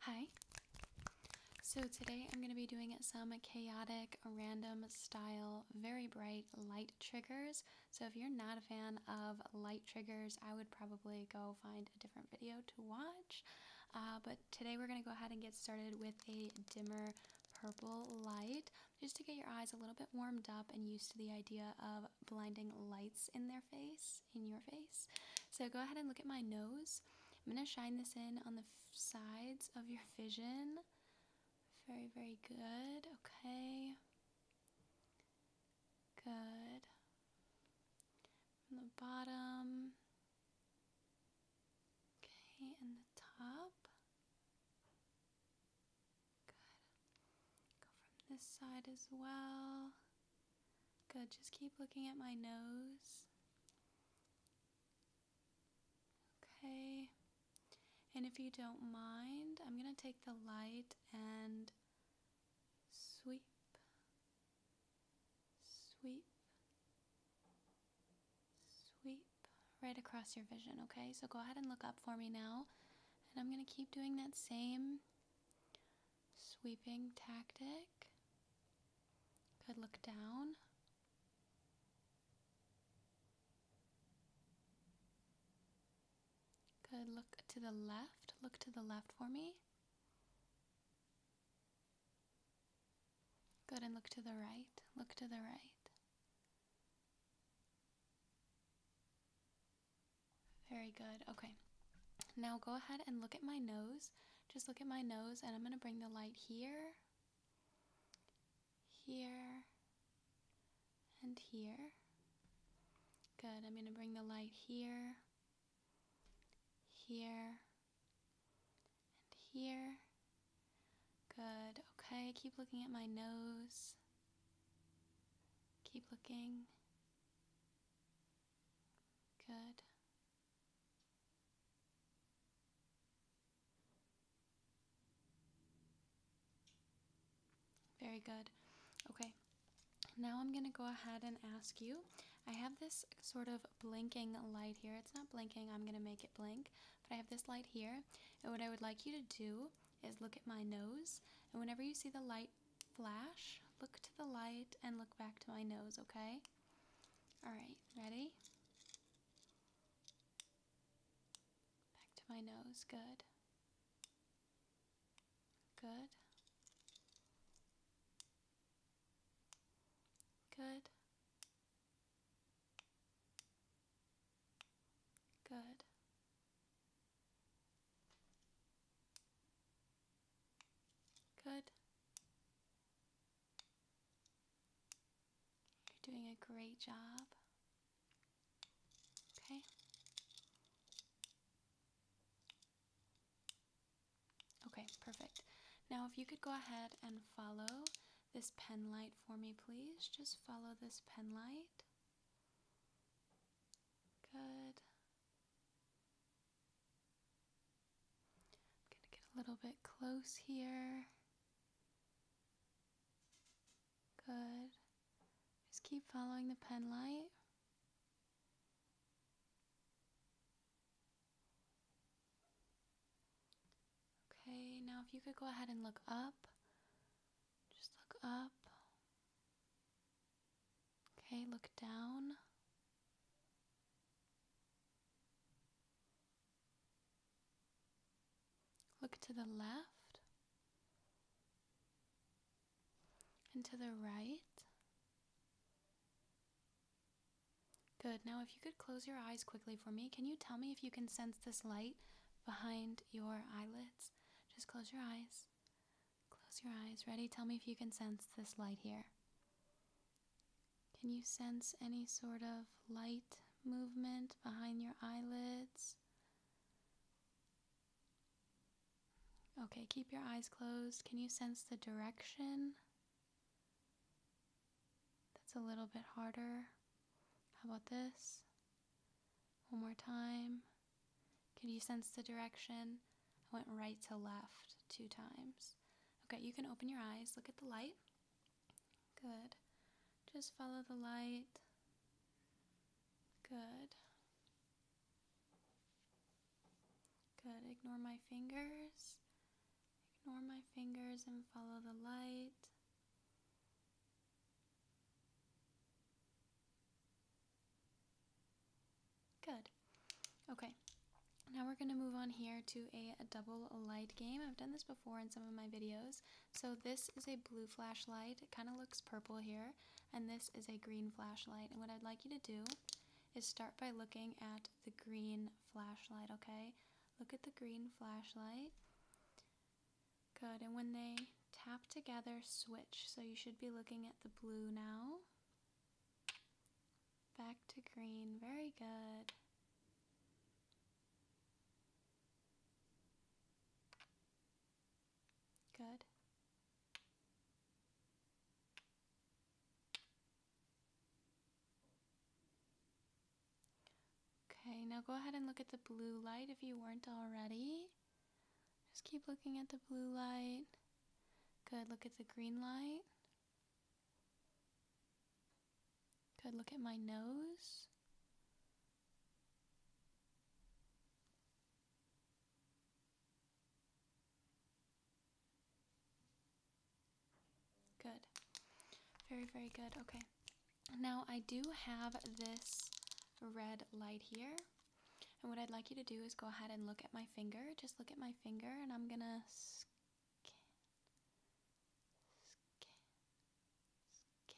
Hi. So today I'm going to be doing some chaotic, random style, very bright light triggers. So if you're not a fan of light triggers, I would probably go find a different video to watch. Uh, but today we're going to go ahead and get started with a dimmer purple light just to get your eyes a little bit warmed up and used to the idea of blinding lights in their face in your face. So go ahead and look at my nose. I'm going to shine this in on the sides of your vision. Very, very good. Okay. Good. the bottom. Okay, and the top. Good. Go from this side as well. Good, just keep looking at my nose. Okay. And if you don't mind, I'm going to take the light and sweep, sweep, sweep right across your vision, okay? So go ahead and look up for me now. And I'm going to keep doing that same sweeping tactic. Good. look down. Good. look to the left. Look to the left for me. Good, and look to the right. Look to the right. Very good. Okay. Now go ahead and look at my nose. Just look at my nose, and I'm going to bring the light here, here, and here. Good. I'm going to bring the light here, here, and here. Good. Okay. Keep looking at my nose. Keep looking. Good. Very good. Okay. Now I'm going to go ahead and ask you. I have this sort of blinking light here. It's not blinking. I'm going to make it blink. But I have this light here. And what I would like you to do is look at my nose. And whenever you see the light flash. Look to the light and look back to my nose, okay? Alright, ready? Back to my nose, good. Good. Good. Good. Good. You're doing a great job. Okay. Okay, perfect. Now if you could go ahead and follow this pen light for me, please. Just follow this pen light. Good. I'm going to get a little bit close here. Good. Just keep following the pen light. Okay, now if you could go ahead and look up, just look up. Okay, look down. Look to the left and to the right. Good. Now, if you could close your eyes quickly for me, can you tell me if you can sense this light behind your eyelids? Just close your eyes. Close your eyes. Ready? Tell me if you can sense this light here. Can you sense any sort of light movement behind your eyelids? Okay, keep your eyes closed. Can you sense the direction? That's a little bit harder. How about this? One more time. Can you sense the direction? I went right to left two times. Okay, you can open your eyes. Look at the light. Good. Just follow the light. Good. Good. Ignore my fingers. Ignore my fingers and follow the light. Good. Okay. Now we're going to move on here to a, double light game. I've done this before in some of my videos. So this is a blue flashlight. It kind of looks purple here. And this is a green flashlight. And what I'd like you to do is start by looking at the green flashlight, okay? Look at the green flashlight. Good. And when they tap together, switch. So you should be looking at the blue now. Back to green, very good. Good. Okay, now go ahead and look at the blue light if you weren't already. Just keep looking at the blue light. Good, look at the green light. Good, look at my nose. Good. Very, very good. Okay. Now I do have this red light here. And what I'd like you to do is go ahead and look at my finger. Just look at my finger, and I'm going to scan, scan, scan, scan, scan,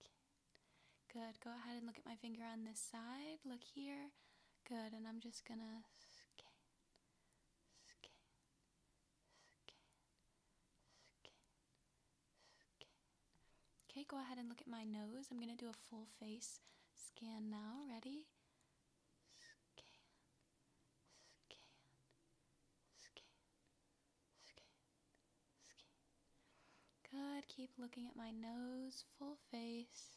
scan. Good. Go ahead and look at my finger on this side. Look here. Good. And I'm just going to scan, scan, scan, scan, Okay. go ahead and look at my nose. I'm going to do a full face scan now. Ready? Scan, scan, scan, scan, scan. Good. Keep looking at my nose, full face.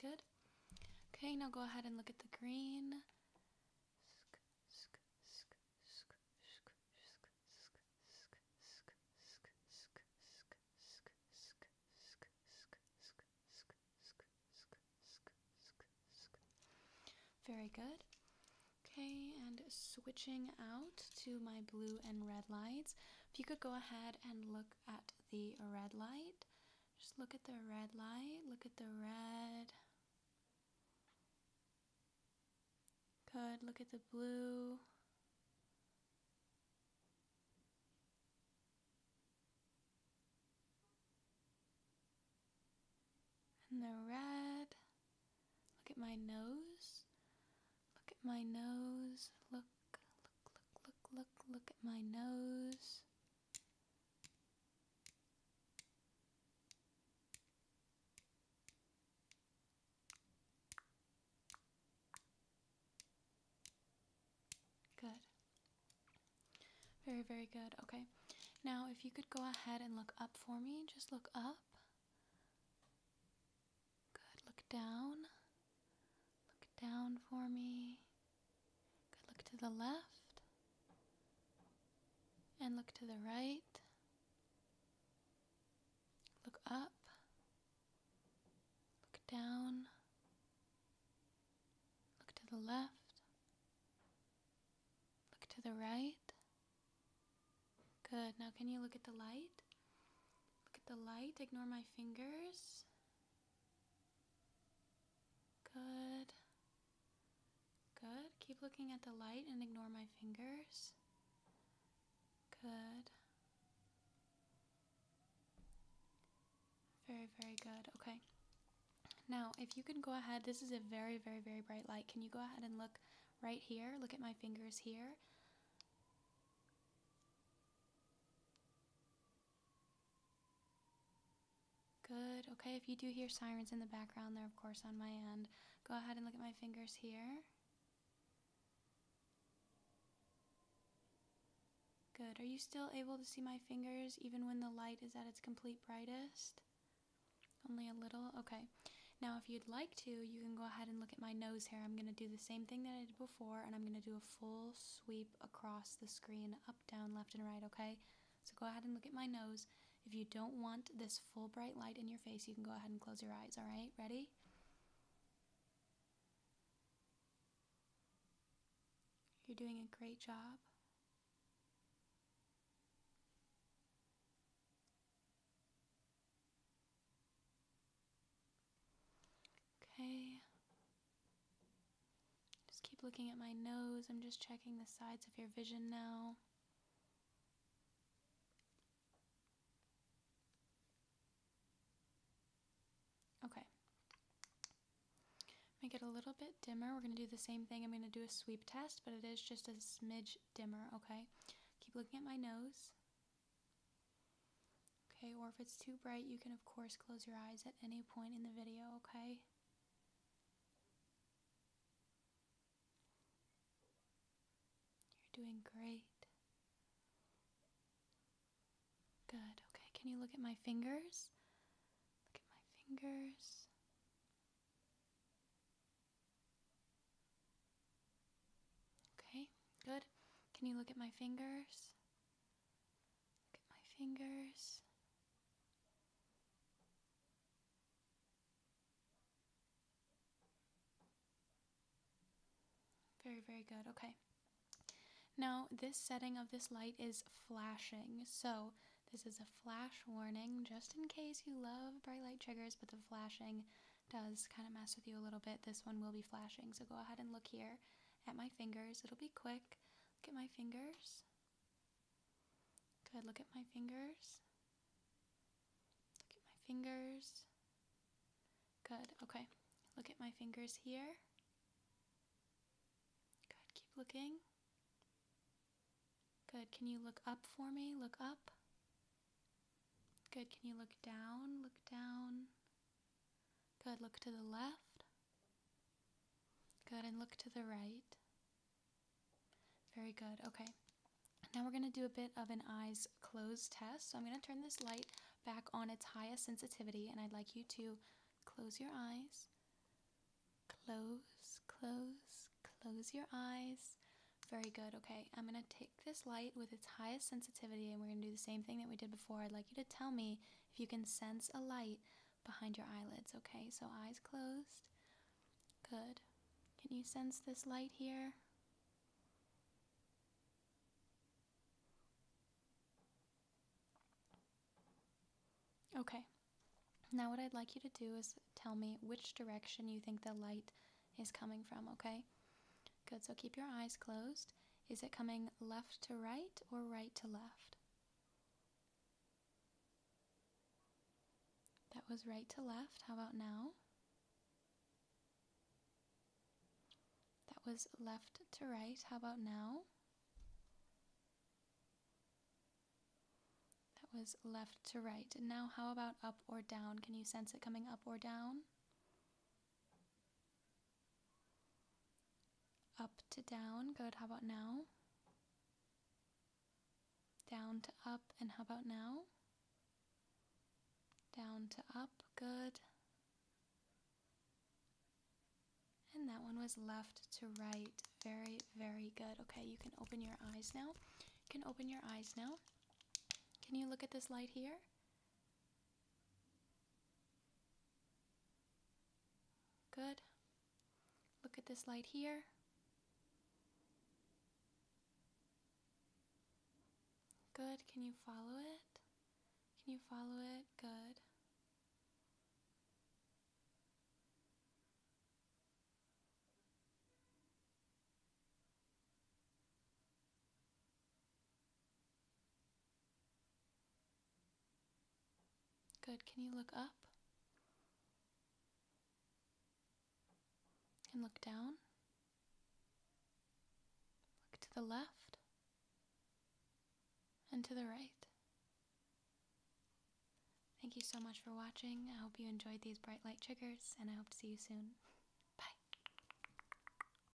Good. Okay, now go ahead and look at the green. Very good. Okay, and switching out to my blue and red lights, if you could go ahead and look at the red light. Just look at the red light, look at the red. Good, look at the blue. And the red. Look at my nose. Look at my nose. Look, look, look, look, look, look at my nose. Good. Very, very good. Okay. Now, if you could go ahead and look up for me, just look up. Good. Look down. Look down for me. Good. Look to the left. And look to the right. Look up. Look down. Look to the left. Look to the right. Good. Now, can you look at the light? Look at the light. Ignore my fingers. Good. Good. Keep looking at the light and ignore my fingers. Good. Very, very good. Okay. Now, if you can go ahead, this is a very, very, very bright light. Can you go ahead and look right here? Look at my fingers here. Good. Okay, if you do hear sirens in the background, they're of course on my end. Go ahead and look at my fingers here. Good. Are you still able to see my fingers even when the light is at its complete brightest? Only a little? Okay. Now, if you'd like to, you can go ahead and look at my nose here. I'm going to do the same thing that I did before, and I'm going to do a full sweep across the screen, up, down, left, and right, okay? So go ahead and look at my nose. If you don't want this full bright light in your face, you can go ahead and close your eyes, all right? Ready? You're doing a great job. Okay. Just keep looking at my nose. I'm just checking the sides of your vision now. Okay. Make it a little bit dimmer. We're going to do the same thing. I'm going to do a sweep test, but it is just a smidge dimmer, okay? Keep looking at my nose. Okay, or if it's too bright, you can of course close your eyes at any point in the video, okay? You're doing great. Good, okay, can you look at my fingers? Look at my fingers. Okay, good. Can you look at my fingers? Look at my fingers. Very, very good. Okay. Now, this setting of this light is flashing, so this is a flash warning just in case you love bright light triggers, but the flashing does kind of mess with you a little bit. This one will be flashing, so go ahead and look here at my fingers. It'll be quick. Look at my fingers. Good. Look at my fingers. Look at my fingers. Good. Okay. Look at my fingers here. Good. Keep looking. Good. Can you look up for me? Look up. Good. Can you look down? Look down. Good. Look to the left. Good. And look to the right. Very good. Okay. Now we're going to do a bit of an eyes closed test. So I'm going to turn this light back on its highest sensitivity, and I'd like you to close your eyes. Close, close, close your eyes. Very good. Okay, I'm going to take this light with its highest sensitivity, and we're going to do the same thing that we did before. I'd like you to tell me if you can sense a light behind your eyelids, okay? So eyes closed. Good. Can you sense this light here? Okay. Now what I'd like you to do is tell me which direction you think the light is coming from, okay? Good, so keep your eyes closed. Is it coming left to right or right to left? That was right to left. How about now? That was left to right. How about now? That was left to right. And now how about up or down? Can you sense it coming up or down? Up to down, good. How about now? Down to up, and how about now? Down to up, good. And that one was left to right. Very, very good. Okay, you can open your eyes now. You can open your eyes now. Can you look at this light here? Good. Look at this light here. Good. Can you follow it? Can you follow it? Good. Good. Can you look up? And look down. Look to the left and to the right. Thank you so much for watching. I hope you enjoyed these bright light triggers, and I hope to see you soon.